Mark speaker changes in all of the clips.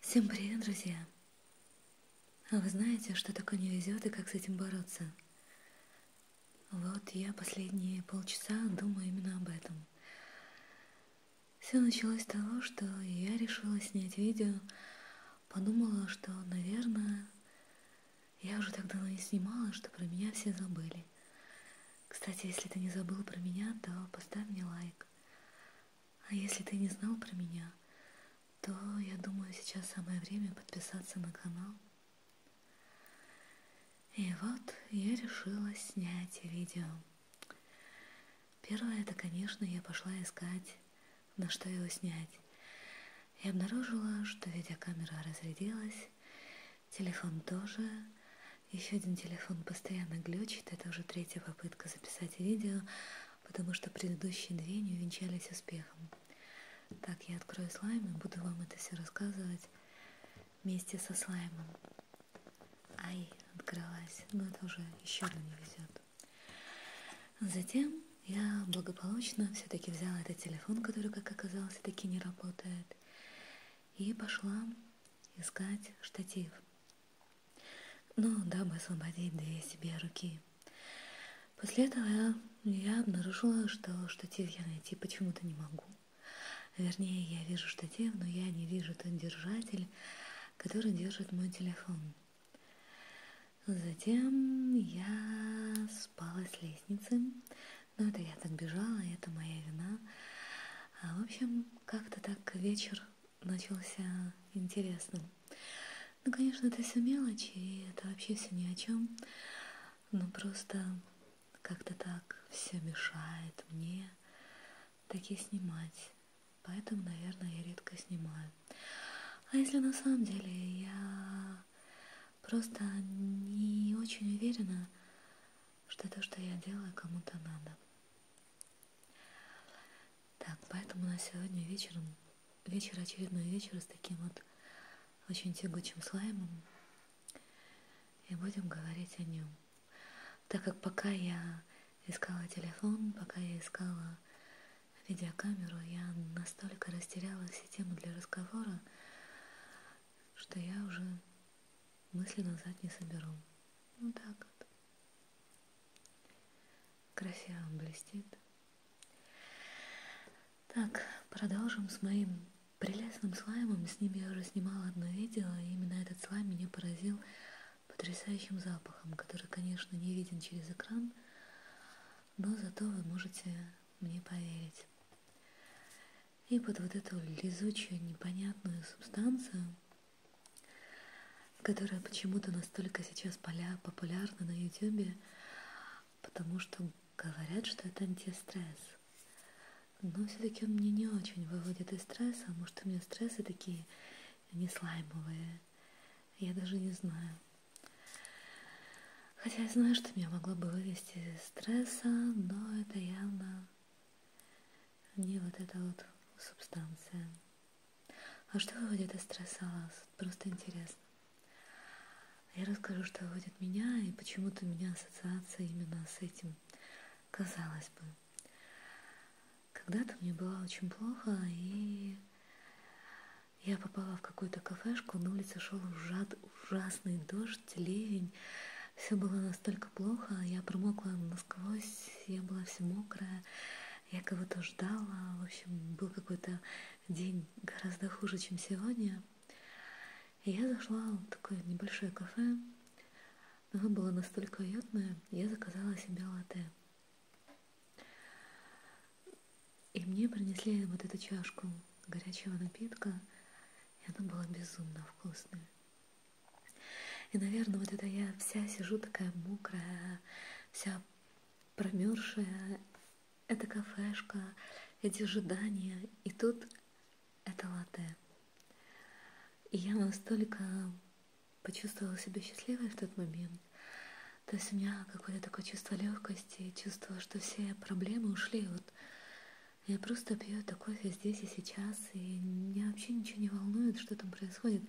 Speaker 1: Всем привет, друзья! А вы знаете, что такое не везет и как с этим бороться? Вот я последние полчаса думаю именно об этом. Все началось с того, что я решила снять видео, подумала, что, наверное, я уже так давно не снимала, что про меня все забыли. Кстати, если ты не забыл про меня, то поставь мне лайк. А если ты не знал про меня, то, я думаю, сейчас самое время подписаться на канал. И вот я решила снять видео. Первое, это, конечно, я пошла искать, на что его снять. И обнаружила, что видеокамера разрядилась, телефон тоже, еще один телефон постоянно глючит, это уже третья попытка записать видео, потому что предыдущие две не увенчались успехом. Так, я открою слайм и буду вам это все рассказывать вместе со слаймом. Ай, открылась, но ну, это уже еще одно не везет. Затем я благополучно все-таки взяла этот телефон, который, как оказалось, таки не работает, и пошла искать штатив. Ну, дабы освободить две себе руки. После этого я, я обнаружила, что штатив я найти почему-то не могу. Вернее, я вижу штатив, но я не вижу тот держатель, который держит мой телефон. Затем я спала с лестницы, но ну, это я так бежала, это моя вина. А, в общем, как-то так вечер начался интересным. Ну, конечно, это все мелочи, и это вообще все ни о чем. Но просто как-то так все мешает мне такие снимать. Поэтому, наверное, я редко снимаю. А если на самом деле я просто не очень уверена что то, что я делаю, кому-то надо. Так, поэтому на сегодня вечером, вечер очередной вечер с таким вот очень тягучим слаймом. И будем говорить о нем. Так как пока я искала телефон, пока я искала видеокамеру, я настолько растерялась и тему для разговора, что я уже мысли назад не соберу. Вот так вот. Красиво он блестит. Так, продолжим с моим прелестным слаймом. С ним я уже снимала одно видео, и именно этот слайм меня поразил потрясающим запахом, который, конечно, не виден через экран, но зато вы можете мне поверить и под вот эту лизучую непонятную субстанцию, которая почему-то настолько сейчас популярна на ютюбе, потому что говорят, что это антистресс. Но все-таки он мне не очень выводит из стресса, может у меня стрессы такие не слаймовые. Я даже не знаю. Хотя я знаю, что меня могло бы вывести из стресса, но это явно не вот эта вот субстанция. А что выводит из стресса вас? Просто интересно. Я расскажу, что выводит меня, и почему-то у меня ассоциация именно с этим. Казалось бы, когда-то мне было очень плохо, и я попала в какую-то кафешку, на улице шел ужат, ужасный дождь, ливень. Все было настолько плохо, я промокла насквозь, я была вся мокрая, я кого-то ждала. В общем, был какой-то день гораздо хуже, чем сегодня. И я зашла в такое небольшое кафе, оно было настолько уютное, я заказала себе латте. И мне принесли вот эту чашку горячего напитка, и она была безумно вкусная. И, наверное, вот это я вся сижу такая мокрая, вся промерзшая. Это кафешка, эти ожидания, и тут это латте. И я настолько почувствовала себя счастливой в тот момент, то есть у меня какое-то такое чувство легкости, чувство, что все проблемы ушли. Вот я просто пью это кофе здесь и сейчас, и меня вообще ничего не волнует, что там происходит.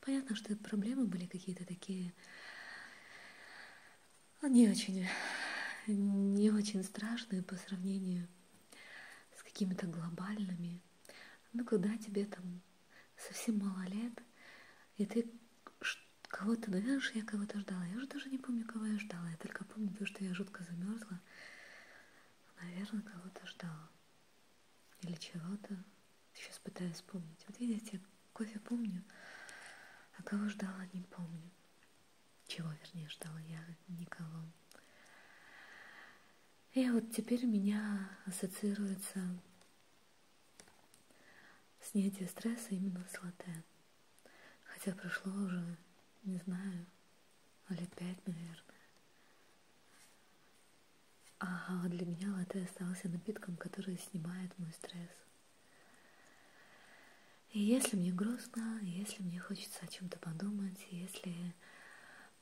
Speaker 1: Понятно, что проблемы были какие-то такие ну, не очень, не очень страшные по сравнению с какими-то глобальными. Ну куда тебе там совсем мало лет, и ты кого-то, наверное, я кого-то ждала. Я уже даже не помню, кого я ждала. Я только помню то, что я жутко замерзла. Наверное, кого-то ждала. Или чего-то. Сейчас пытаюсь вспомнить. Вот видите, кофе помню, а кого ждала, не помню. Чего, вернее, ждала я никого. И вот теперь меня ассоциируется Снятие стресса именно с латте. Хотя прошло уже, не знаю, ну, лет пять, наверное. А для меня латте остался напитком, который снимает мой стресс. И если мне грустно, если мне хочется о чем-то подумать, если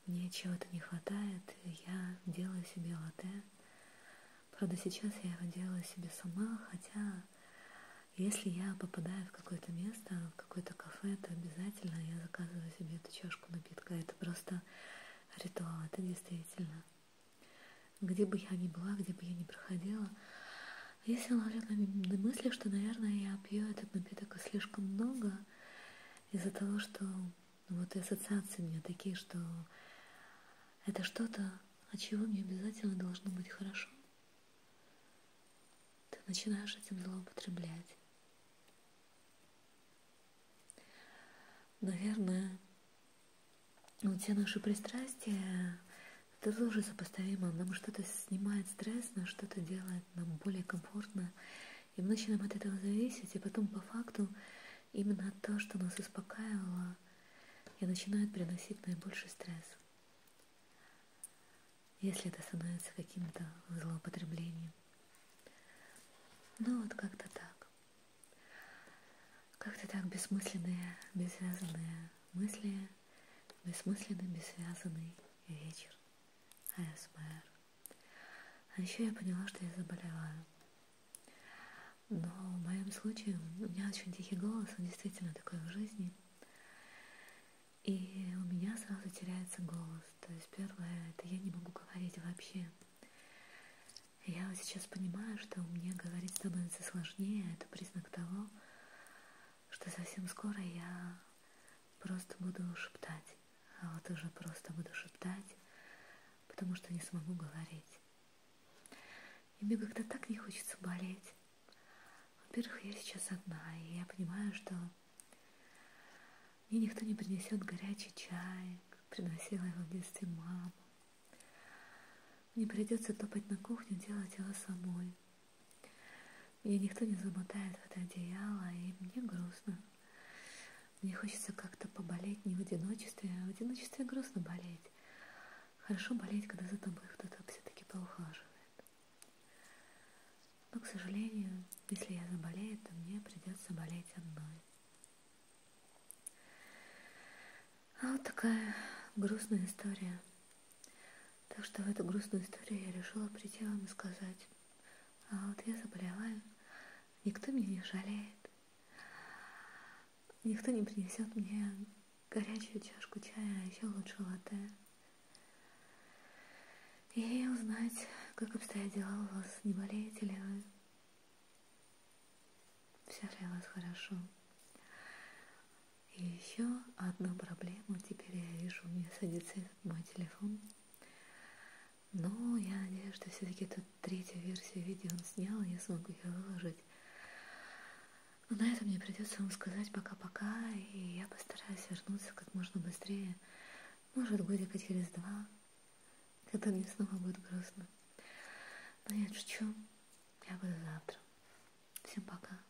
Speaker 1: мне чего-то не хватает, я делаю себе латте далее. Правда, сейчас я его делаю себе сама, хотя если я попадаю в какое-то место, в какое-то кафе, то обязательно я заказываю себе эту чашку напитка. Это просто ритуал, это действительно. Где бы я ни была, где бы я ни проходила, если ловлю на мысли, что, наверное, я пью этот напиток слишком много из-за того, что но вот и ассоциации у меня такие, что это что-то, от чего мне обязательно должно быть хорошо. Ты начинаешь этим злоупотреблять. Наверное, ну, те наши пристрастия, это тоже сопоставимо. Нам что-то снимает стресс, нам что-то делает нам более комфортно. И мы начинаем от этого зависеть, и потом по факту именно то, что нас успокаивало, и начинает приносить наибольший стресс. Если это становится каким-то злоупотреблением. Ну вот как-то так. Как-то так бессмысленные, бессвязанные мысли, бессмысленный, бессвязанный вечер. АСМР. А еще я поняла, что я заболела. Но в моем случае у меня очень тихий голос, он действительно такой в жизни. И у меня сразу теряется голос. То есть первое, это я не могу говорить вообще. Я вот сейчас понимаю, что мне говорить становится сложнее. Это признак того, что совсем скоро я просто буду шептать а вот уже просто буду шептать, потому что не смогу говорить. И мне как-то так не хочется болеть. Во-первых, я сейчас одна, и я понимаю, что мне никто не принесет горячий чай, как приносила его в детстве мама. Мне придется топать на кухню, делать его самой. Меня никто не замотает в это одеяло, и мне грустно. Мне хочется как-то поболеть не в одиночестве, а в одиночестве грустно болеть. Хорошо болеть, когда за тобой кто-то все-таки поухаживает. Но, к сожалению, если я заболею, то мне придется болеть одной. А вот такая грустная история. Так что в эту грустную историю я решила прийти вам и сказать. А вот я заболеваю, никто меня не жалеет, никто не принесет мне горячую чашку чая, а еще лучше латте. И узнать, как обстоят дела у вас, не болеете ли вы. Все ли у вас хорошо? И еще одну проблему теперь я вижу, у меня садится этот мой телефон. Но я надеюсь, что все-таки тут третью версию видео он снял, и я смогу ее выложить. Но на этом мне придется вам сказать пока-пока, и я постараюсь вернуться как можно быстрее. Может, годика через два, когда мне снова будет грустно. Но я шучу. Я буду завтра. Всем пока.